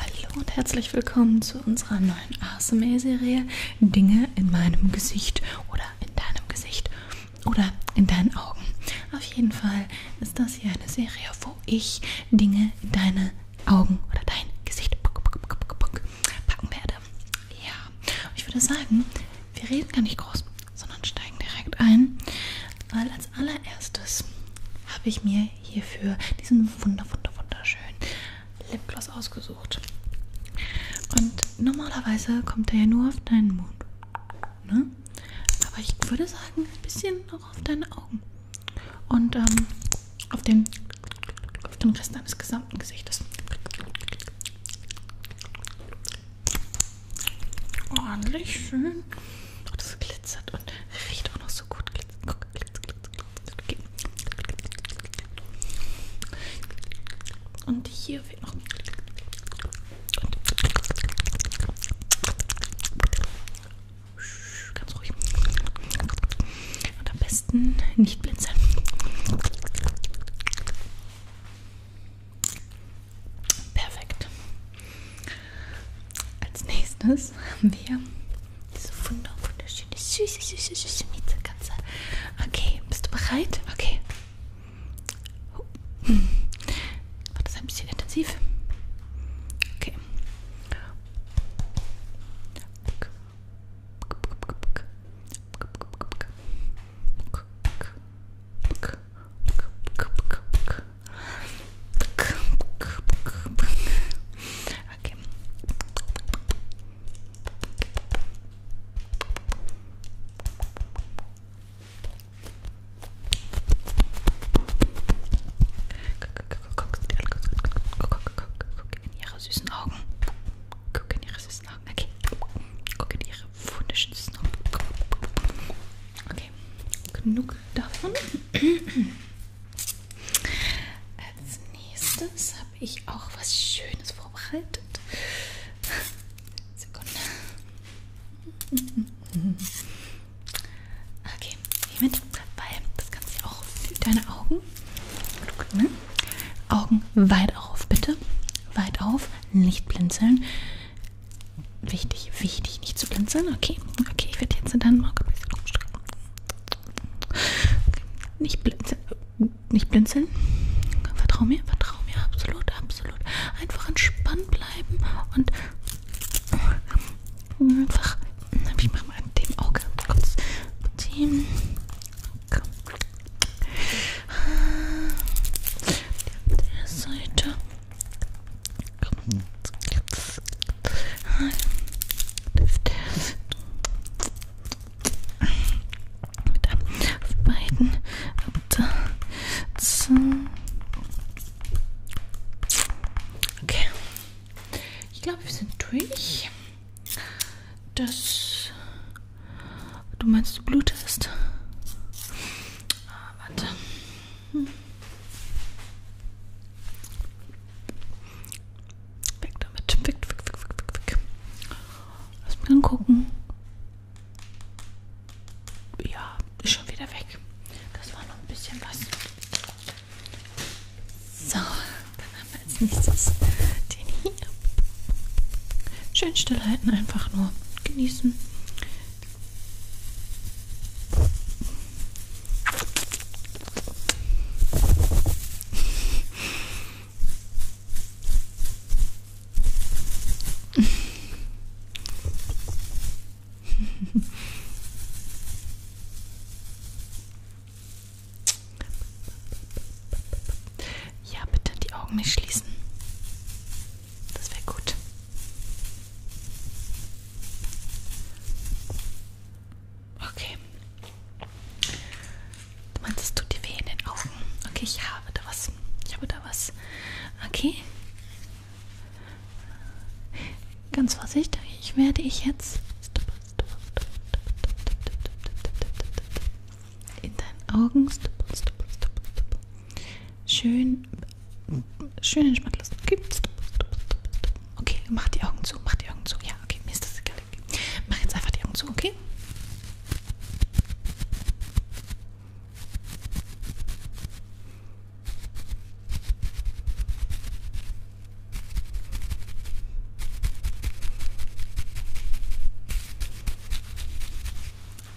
Hallo und herzlich willkommen zu unserer neuen ASMR-Serie Dinge in meinem Gesicht oder in deinem Gesicht oder in deinen Augen. Auf jeden Fall ist das hier eine Serie, wo ich Dinge in deine Augen oder dein Gesicht packen werde. Ja, ich würde sagen, wir reden gar nicht groß, sondern steigen direkt ein, weil als allererstes habe ich mir hierfür diesen wunder, wunder, wunderschönen Lipgloss ausgesucht. Und normalerweise kommt er ja nur auf deinen Mund. Ne? Aber ich würde sagen, ein bisschen auch auf deine Augen. Und ähm, auf, den, auf den Rest deines gesamten Gesichtes. Ordentlich schön. Und oh, es glitzert und riecht auch noch so gut. Und hier wird noch. Ganz ruhig. Und am besten nicht blinzeln. Perfekt. Als nächstes haben wir diese wunderschöne, süße, süße, süße Mietzekatze. Okay, bist du bereit? Okay. Oh. War das ein bisschen intensiv? Okay. Okay. Guck in ihre süßen Augen. Guck in ihre süßen Augen. Okay. Guck in ihre wunderschönen süßen Augen. Okay. Genug davon. Als nächstes habe ich auch was Schönes vorbereitet. Sekunde. Okay, hiermit, weil das Ganze auch für deine Augen. Ne? Augen weit auf, bitte. Weit auf, nicht blinzeln. Wichtig, wichtig, nicht zu blinzeln. Okay, okay, ich werde jetzt in deinen Auge ein bisschen umstrecken. Nicht blinzeln, nicht blinzeln. Vertrau mir, vertrau mir, absolut, absolut. Einfach entspannt bleiben und einfach, ich mache mal an dem Auge kurz ziehen. Der Seite. Mit auf beiden Okay. Ich glaube, wir sind durch. Das. Du meinst, du blutest? Ah, warte. Hm. Weg damit. Weg, weg, weg, weg, weg. Lass mich angucken. Ja, ist schon wieder weg. Das war noch ein bisschen was. So, dann haben wir als nächstes den hier. Schön still halten, einfach nur genießen. Ja, bitte die Augen nicht schließen. Das wäre gut. Okay. Du meinst, es tut dir weh in den Augen? Okay, ich habe da was. Ich habe da was. Okay. Ganz vorsichtig werde ich jetzt in deinen Augen schön schön entspannt lassen. Okay. okay, mach die Augen zu, mach die Augen zu. Ja, okay, mir ist das egal. Okay. Mach jetzt einfach die Augen zu, okay?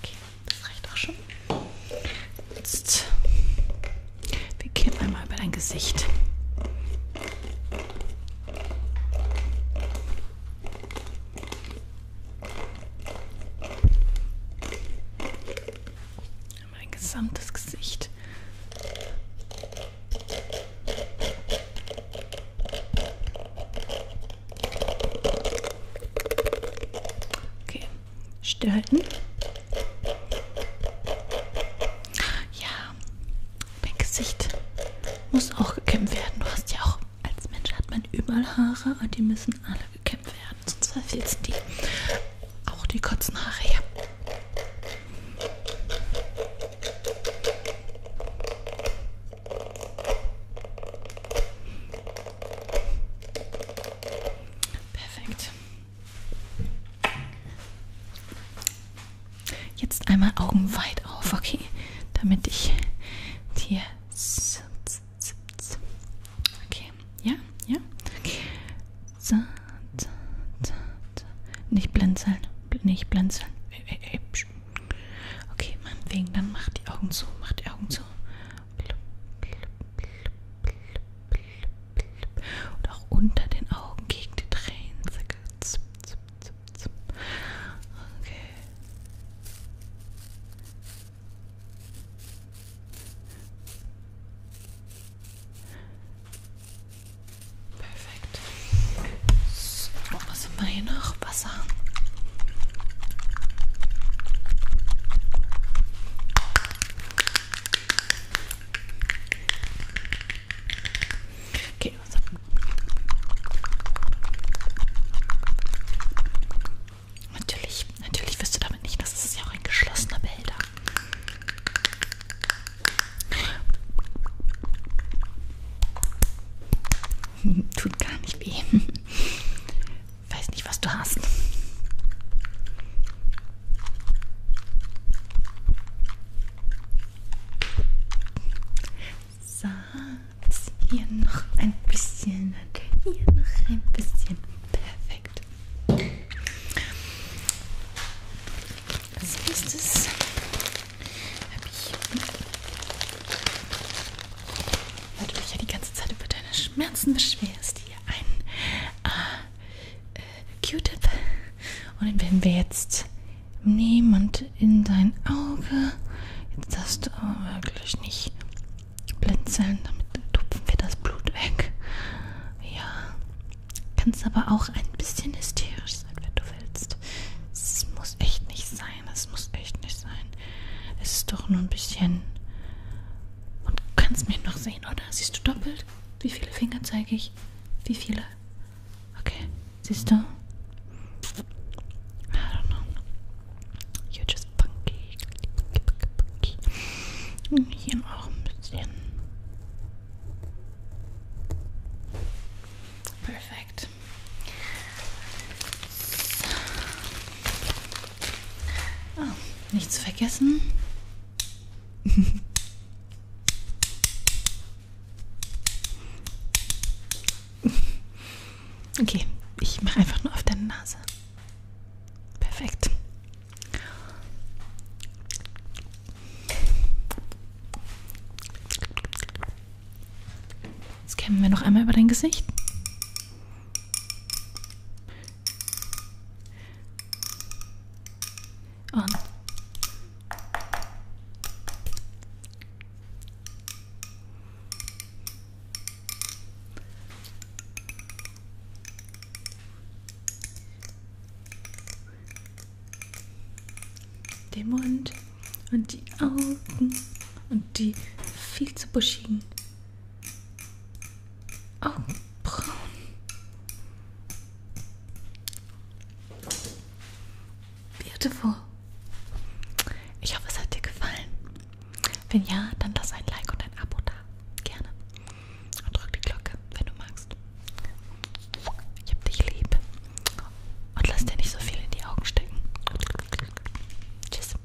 Okay, das reicht auch schon. Jetzt beginnt einmal über dein Gesicht. Mein gesamtes Gesicht. Okay, stillhalten. Ja, mein Gesicht muss auch gekämmt werden. Du hast ja auch, als Mensch hat man überall Haare und die müssen alle gekämmt werden, sonst verfilzen die. Auch die kurzen Haare, ja. Perfekt. Jetzt einmal Augen weit auf, okay, damit ich dir. Okay, ja, ja. So, so, so, so. Nicht blinzeln, nicht blinzeln. Okay, meinetwegen, dann mach die Augen zu, mach die Augen zu. Blub, blub, blub, und auch unter den Augen gegen die Tränen. Okay. Perfekt. So, was haben wir hier noch? Wasser. Okay, was also. Natürlich, natürlich wirst du damit nicht, das ist ja auch ein geschlossener Behälter. Tut gar nicht weh. Weiß nicht, was du hast. Satz. Hier noch ein bisschen. Hier noch ein bisschen. Perfekt. Als nächstes habe ich. Weil du dich ja die ganze Zeit über deine Schmerzen beschwerst. Ja einen äh, äh, Q-Tip. Und den werden wir jetzt nehmen und in dein Auge. Jetzt darfst du aber wirklich nicht blinzeln, damit tupfen wir das Blut weg. Ja. Kannst aber auch ein bisschen hysterisch sein, wenn du willst. Es muss echt nicht sein. Es muss echt nicht sein. Es ist doch nur ein bisschen und du kannst mich noch sehen, oder? Siehst du doppelt? Wie viele Finger zeige ich? Wie viele? Okay, siehst du? I don't know. You're just funky. funky, funky, funky. Hm, hier auch ein bisschen. Perfekt. So. Ah, nichts vergessen. Okay, ich mache einfach nur auf deine Nase. Perfekt. Jetzt kämmen wir noch einmal über dein Gesicht an. Den Mund und die Augen und die viel zu buschigen Augenbrauen. Oh, Beautiful. Ich hoffe, es hat dir gefallen. Wenn ja, dann lass ein Like und ein Abo da. Gerne. Und drück die Glocke, wenn du magst. Ich hab dich lieb. Und lass dir nicht so viel in die Augen stecken. Tschüss.